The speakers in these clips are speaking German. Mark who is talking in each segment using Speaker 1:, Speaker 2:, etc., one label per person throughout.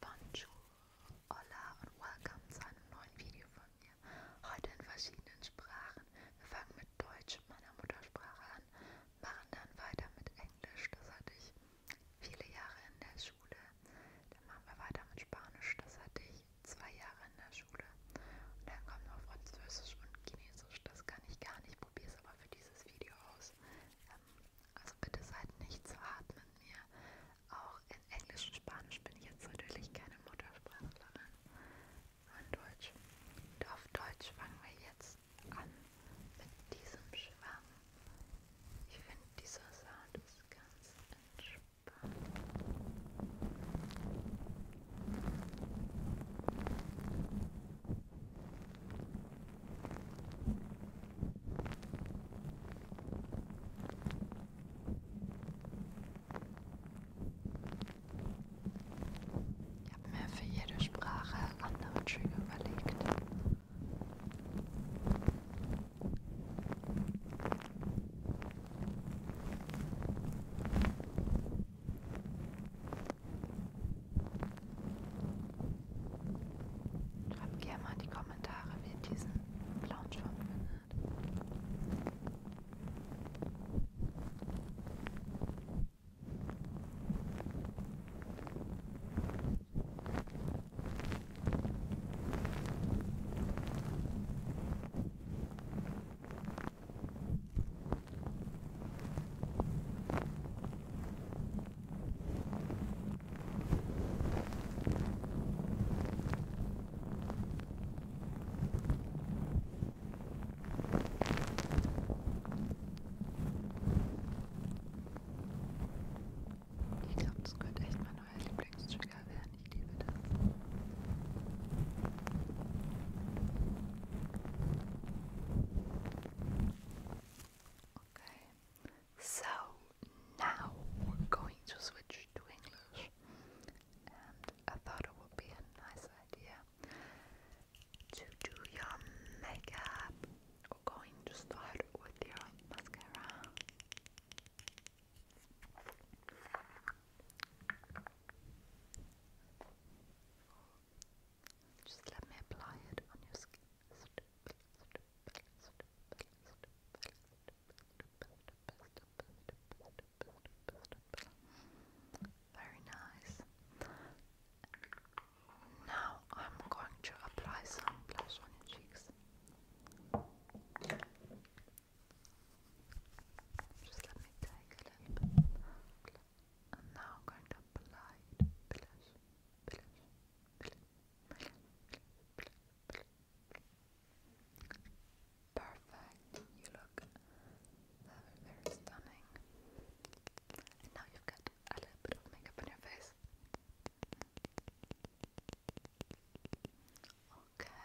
Speaker 1: Bonjour, hola und welcome zu einem neuen Video von mir. Heute in verschiedenen Sprachen. Wir fangen mit Deutsch, meiner Muttersprache, an, machen dann weiter mit Englisch, das hatte ich viele Jahre in der Schule. Dann machen wir weiter mit Spanisch, das hatte ich zwei Jahre in der Schule. Und dann kommt noch Französisch und Chinesisch, das kann ich gar nicht, probiere es aber für dieses Video aus. Ähm, also bitte seid nicht zu hart mit mir. Auch in Englisch und Spanisch bin ich jetzt natürlich keine Muttersprachlerin. Nur in Deutsch. Und auf Deutsch fangen wir jetzt an mit diesem Schwamm. Ich finde, dieser Sound ist ganz entspannt. Ich habe mir für jede Sprache andere Trigger überlegt. Schreibt gerne mal in die Kommentare, wie ihr diesen blauen Schwamm findet. Ich glaube, das könnte echt mein neuer Lieblingstrigger werden. Ich liebe das. Okay, so now we're going to switch to English, and I thought it would be a nice idea to do your makeup. We're going to start with your mascara. Just let me apply it on your skin. Very nice. Now I'm going to apply some blush on your cheeks. Just let me take a little bit. And now I'm going to apply it. Perfect. You look very stunning. And now you've got a little bit of makeup on your face. Okay.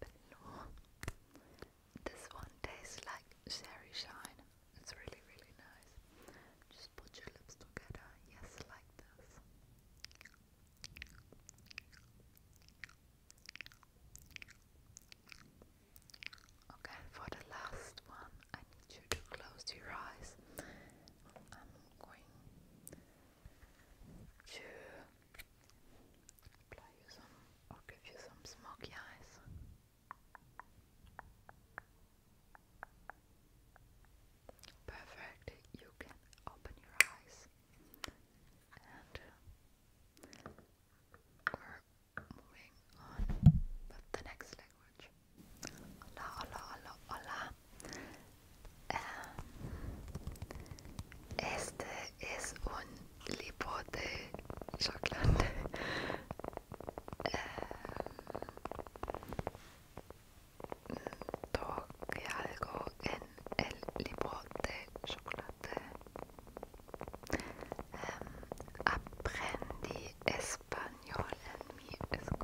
Speaker 1: Labello. This one tastes like Sherry Shine. It's really, really nice. Just put your lips together. Yes, like this. Okay, for the last one, I need you to close your eyes. I'm going to apply give you some smoky eyes. Perfect, you can open your eyes and uh, we're moving on with the next language. Hola, hola, hola, hola. Eh, este es un libro de chocolate. Eh, toque algo en el libro de chocolate. Aprendí es español en mi escuela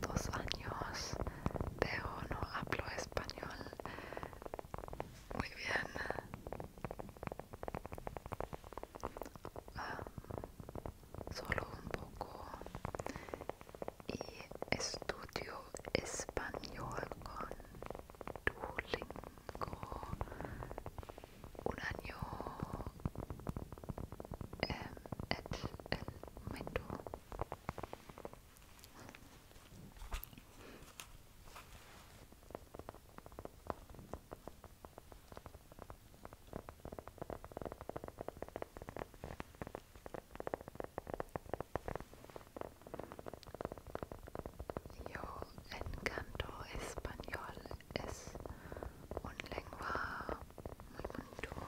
Speaker 1: dos años, pero no hablo español muy bien. solo un poco y estudio español con Duolingo un año el yo encanto español es un lengua mein Monitor.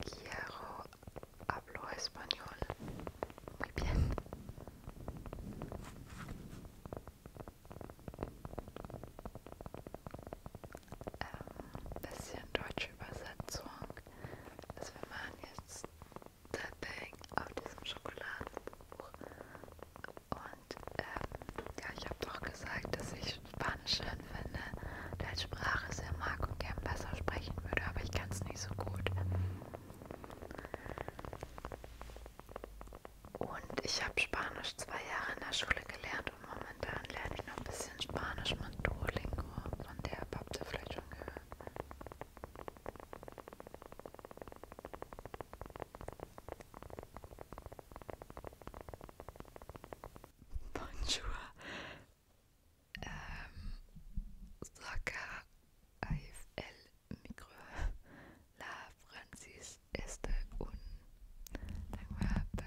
Speaker 1: Quiero hablo español. Muy bien. Ähm, das ist ja eine deutsche Übersetzung gesagt, dass also wir machen jetzt Tapping auf diesem Schokoladenbuch. Und ähm, ja, ich habe doch gesagt, dass ich Spanisch schön finde und als Sprache sehr mag und gern besser sprechen würde, aber ich kann es nicht so gut. Und ich habe Spanisch zwei Jahre in der Schule gelernt und Mama Momentan lerne ich noch ein bisschen Spanisch mit Duolingo, von der habt ihr vielleicht schon gehört. Bonjour. Ähm, Soca auf el micro. La Francis este un lengua bel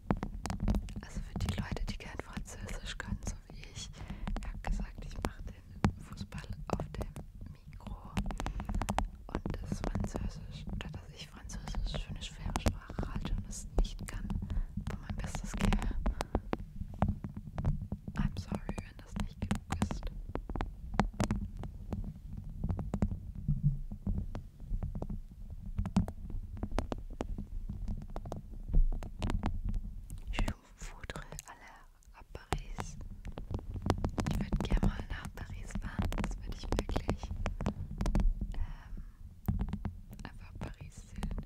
Speaker 1: Also für die Leute, die kein Französisch können, so wie ich, ich habe gesagt, ich mache den Fußball auf dem Mikro und das Französisch, oder dass ich Französisch für eine schwere Sprache halte und es nicht kann, aber mein Bestes gebe. I'm sorry, wenn das nicht genug ist. Je voudrais aller à Paris. Ich würde gerne mal nach Paris fahren. Das würde ich wirklich ähm, einfach Paris sehen.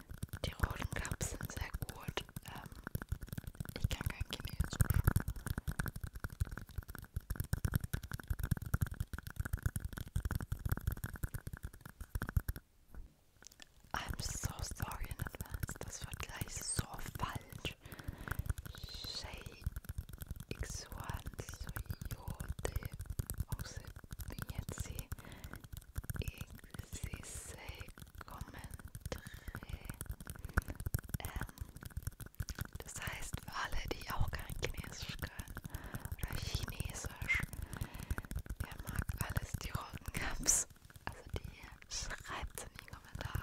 Speaker 1: Die roten Cups sind sehr gut. Ähm, ich kann kein Chinesisch. I'm so sorry in advance. Das wird gleich so falsch. Shay Xuan Soyote. Auch sie. Jetzt sie. XXL Kommentare. Ähm, das heißt, für alle, die auch kein Chinesisch können oder Chinesisch, der mag alles die roten Cups. Also die schreibt in die Kommentare.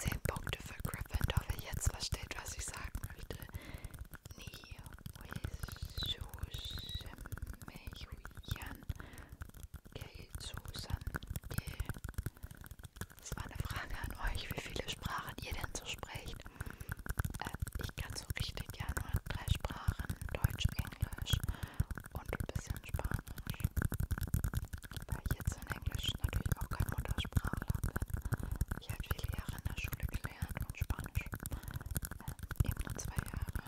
Speaker 1: Zehn Punkte für Gryffindor, wer jetzt versteht, was ich sagen möchte. Nie Susan, Susan, das war eine Frage an euch, wie viele Sprachen ihr denn so sprecht. Äh, ich kann so richtig ja nur drei Sprachen, Deutsch, Englisch und ein bisschen Spanisch. Weil ich jetzt in Englisch natürlich auch kein Muttersprachler bin. Ich habe halt viele Jahre in der Schule gelernt und Spanisch. Äh, eben nur zwei Jahre.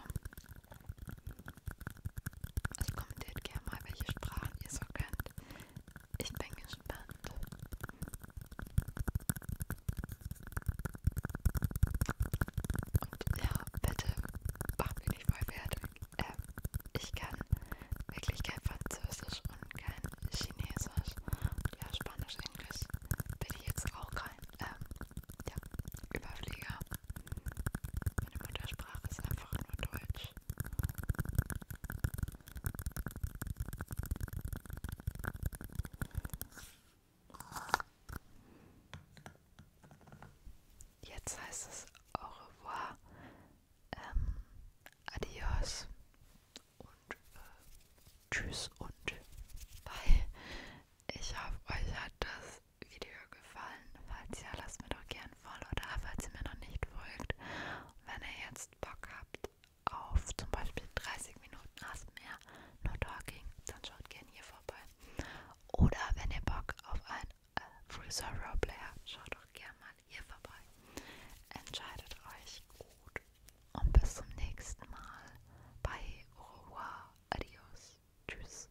Speaker 1: Also kommentiert gerne mal, welche Sprachen ihr so kennt. Ich bin gespannt. Und ja, bitte mach mich nicht voll fertig. Ähm, ich kann wirklich kein Französisch und kein Chinesisch. Ja, Spanisch, Englisch bin ich jetzt auch kein. Ähm, ja, Überflieger. Meine Muttersprache ist einfach nur Deutsch. Jetzt heißt es au revoir, ähm, adios und äh, tschüss und bye. Ich hoffe, euch hat das Video gefallen. Falls ja, lasst mir doch gern ein Follow da, falls ihr mir noch nicht folgt. Und wenn ihr jetzt Bock habt auf zum Beispiel 30 Minuten ASMR, No Talking, dann schaut gern hier vorbei. Oder wenn ihr Bock auf ein äh, Freezer Roleplay habt, schaut doch gern mal hier vorbei. Entscheidet euch gut und bis zum nächsten Mal. Bye, au revoir, adios, tschüss.